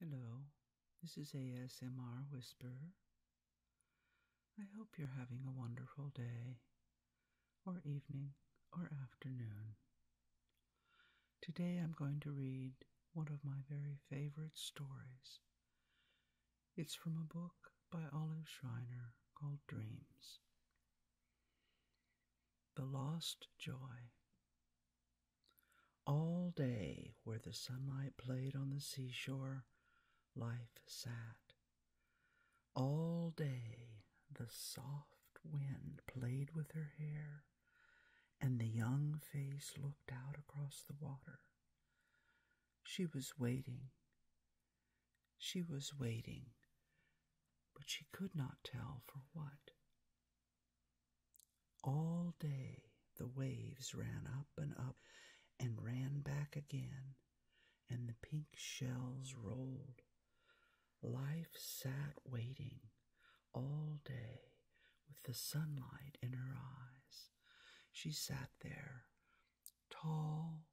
Hello, this is ASMR Whisper. I hope you're having a wonderful day, or evening, or afternoon. Today I'm going to read one of my very favorite stories. It's from a book by Olive Schreiner called Dreams. The lost joy. All day, where the sunlight played on the seashore, life sat. All day, the soft wind played with her hair, and the young face looked out across the water. She was waiting, she was waiting, but she could not tell for what. All day the waves ran up and up and ran back again, and the pink shells rolled. Life sat waiting all day with the sunlight in her eyes. She sat there Tall,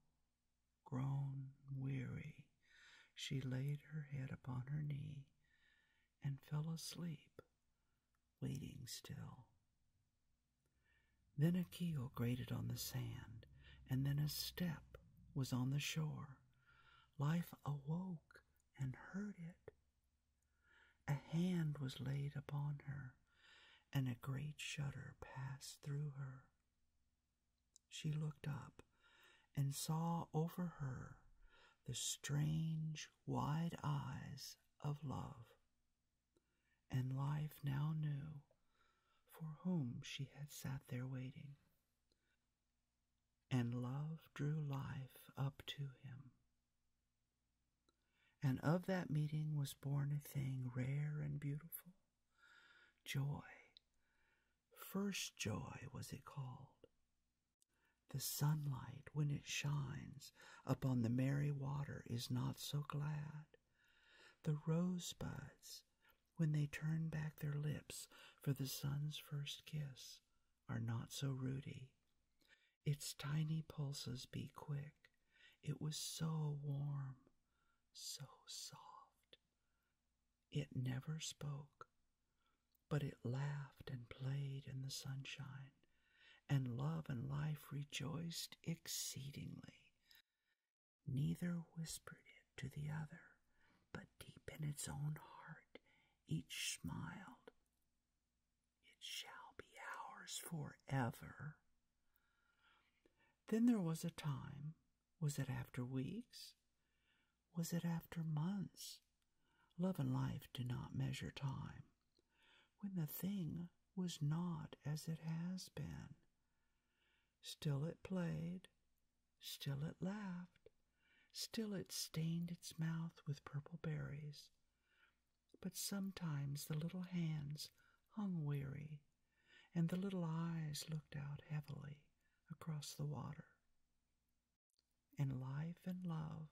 grown weary, she laid her head upon her knee and fell asleep, waiting still. Then a keel grated on the sand, and then a step was on the shore. Life awoke and heard it. A hand was laid upon her, and a great shudder passed through her. She looked up and saw over her the strange wide eyes of love, and life now knew for whom she had sat there waiting. And love drew life up to him. And of that meeting was born a thing rare and beautiful joy. First joy was it called. The sunlight, when it shines upon the merry water, is not so glad. The rosebuds, when they turn back their lips for the sun's first kiss, are not so ruddy. Its tiny pulses be quick it was so warm, so soft. It never spoke, but it laughed and played in the sunshine, and love and life rejoiced exceedingly. Neither whispered it to the other, but deep in its own heart each smiled. It shall be ours forever. Then there was a time, was it after weeks? Was it after months? Love and life do not measure time. When the thing was not as it has been. Still it played, still it laughed, still it stained its mouth with purple berries, but sometimes the little hands hung weary, and the little eyes looked out heavily across the water. And life and love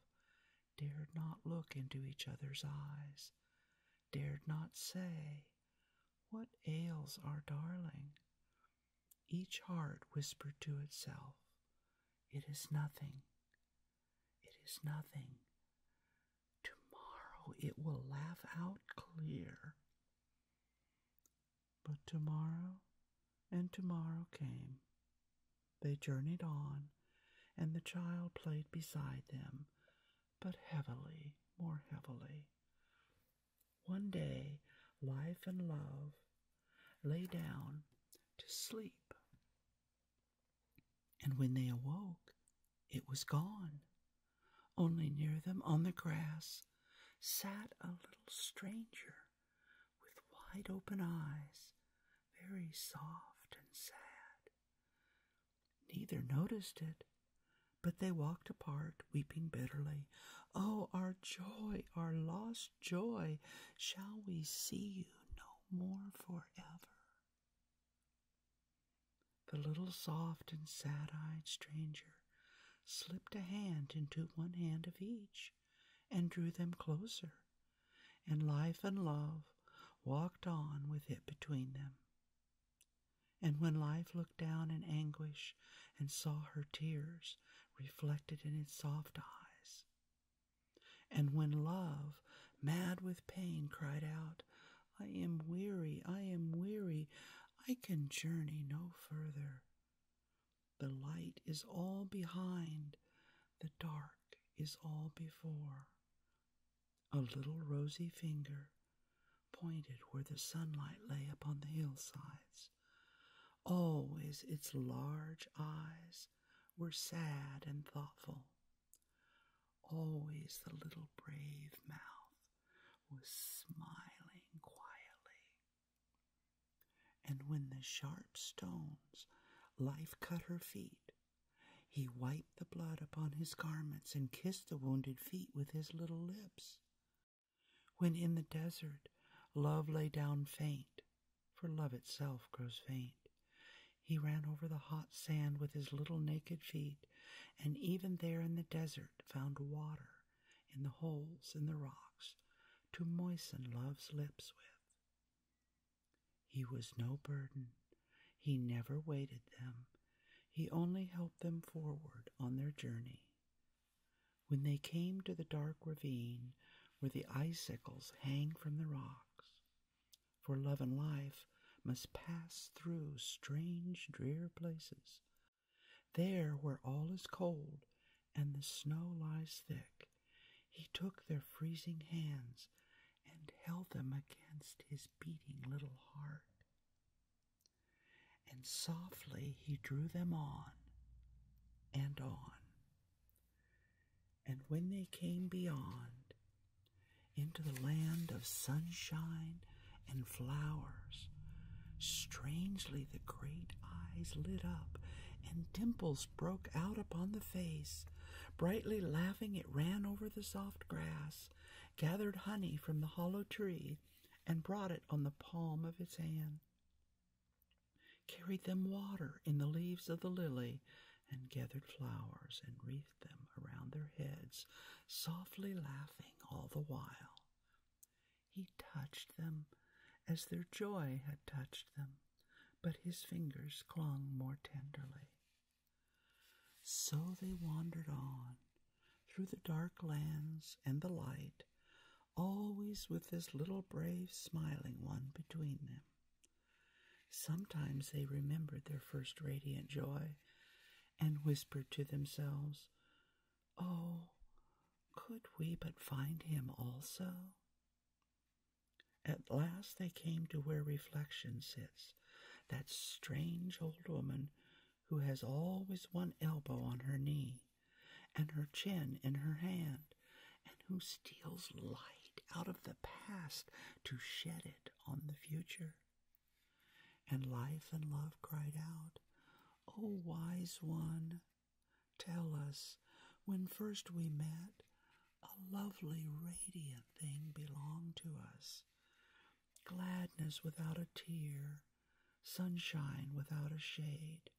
dared not look into each other's eyes, dared not say, What ails our darling? Each heart whispered to itself, It is nothing, it is nothing. Tomorrow it will laugh out clear. But tomorrow and tomorrow came. They journeyed on, and the child played beside them, but heavily, more heavily. One day, life and love lay down to sleep and when they awoke, it was gone. Only near them on the grass sat a little stranger with wide open eyes, very soft and sad. Neither noticed it, but they walked apart, weeping bitterly. Oh, our joy, our lost joy, shall we see you no more forever? The little soft and sad eyed stranger slipped a hand into one hand of each and drew them closer, and life and love walked on with it between them. And when life looked down in anguish and saw her tears reflected in its soft eyes, and when love, mad with pain, cried out, I am weary, I am weary, I can journey no further. The light is all behind, the dark is all before. A little rosy finger pointed where the sunlight lay upon the hillsides. Always oh, its large eyes were sad and thoughtful. Always the little brave mouth was smiling quietly. And when the sharp stones life cut her feet, he wiped the blood upon his garments and kissed the wounded feet with his little lips. When in the desert love lay down faint, for love itself grows faint. He ran over the hot sand with his little naked feet, and even there in the desert found water in the holes in the rocks to moisten love's lips with. He was no burden. He never weighted them. He only helped them forward on their journey. When they came to the dark ravine where the icicles hang from the rocks, for love and life must pass through strange, drear places. There, where all is cold and the snow lies thick, he took their freezing hands and held them against his beating little heart and softly he drew them on and on. And when they came beyond, into the land of sunshine and flowers, strangely the great eyes lit up, and dimples broke out upon the face. Brightly laughing, it ran over the soft grass, gathered honey from the hollow tree, and brought it on the palm of his hand. Carried them water in the leaves of the lily, and gathered flowers and wreathed them around their heads, softly laughing all the while. He touched them as their joy had touched them, but his fingers clung more tenderly. So they wandered on, through the dark lands and the light, always with this little brave smiling one between them. Sometimes they remembered their first radiant joy and whispered to themselves, Oh, could we but find him also? At last they came to where reflection sits, that strange old woman who has always one elbow on her knee and her chin in her hand, and who steals light out of the past to shed it on the future. And life and love cried out, O wise one, tell us, when first we met, a lovely, radiant thing belonged to us gladness without a tear, sunshine without a shade.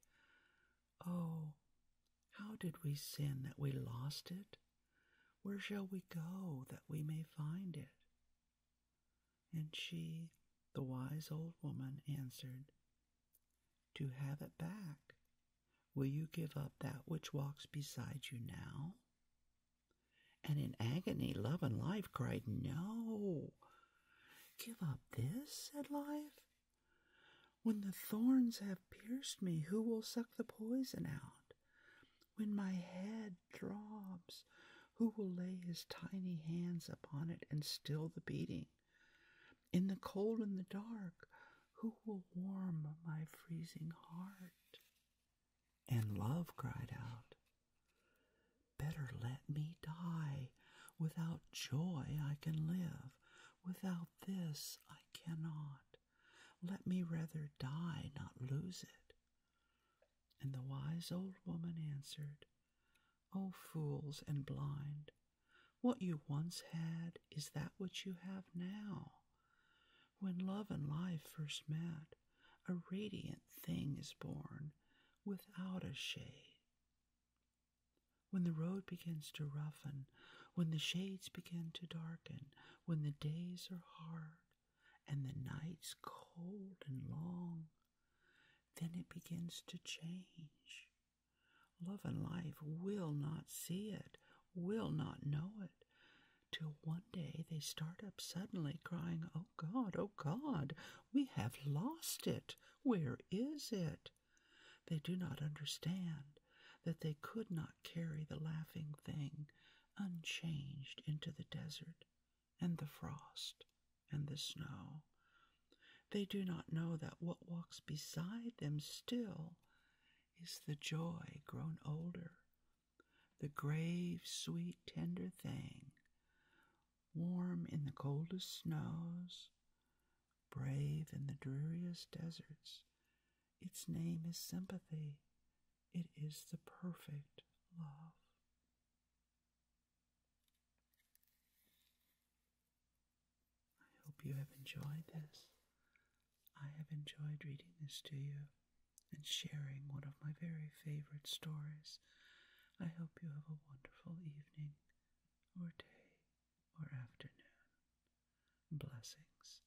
Oh, how did we sin that we lost it? Where shall we go that we may find it? And she, the wise old woman, answered, To have it back. Will you give up that which walks beside you now? And in agony, Love and Life cried, No! Give up this, said Life. When the thorns have pierced me, who will suck the poison out? When my head throbs, who will lay his tiny hands upon it and still the beating? In the cold and the dark, who will warm my freezing heart? And Love cried out, Better let me die. Without joy I can live, without this I cannot. Let me rather die, not lose it. And the wise old woman answered, O fools and blind, what you once had, is that which you have now? When love and life first met, a radiant thing is born without a shade. When the road begins to roughen, when the shades begin to darken, when the days are hard and the nights cold and long, then it begins to change. Love and life will not see it, will not know it, till one day they start up suddenly, crying, Oh God, oh God, we have lost it. Where is it? They do not understand that they could not carry the laughing thing unchanged into the desert and the frost and the snow. They do not know that what walks beside them still is the joy grown older the grave, sweet, tender thing, warm in the coldest snows, brave in the dreariest deserts. Its name is sympathy. It is the perfect love. I hope you have enjoyed this. I have enjoyed reading this to you and sharing one of my very favorite stories. I hope you have a wonderful evening or day or afternoon. Blessings.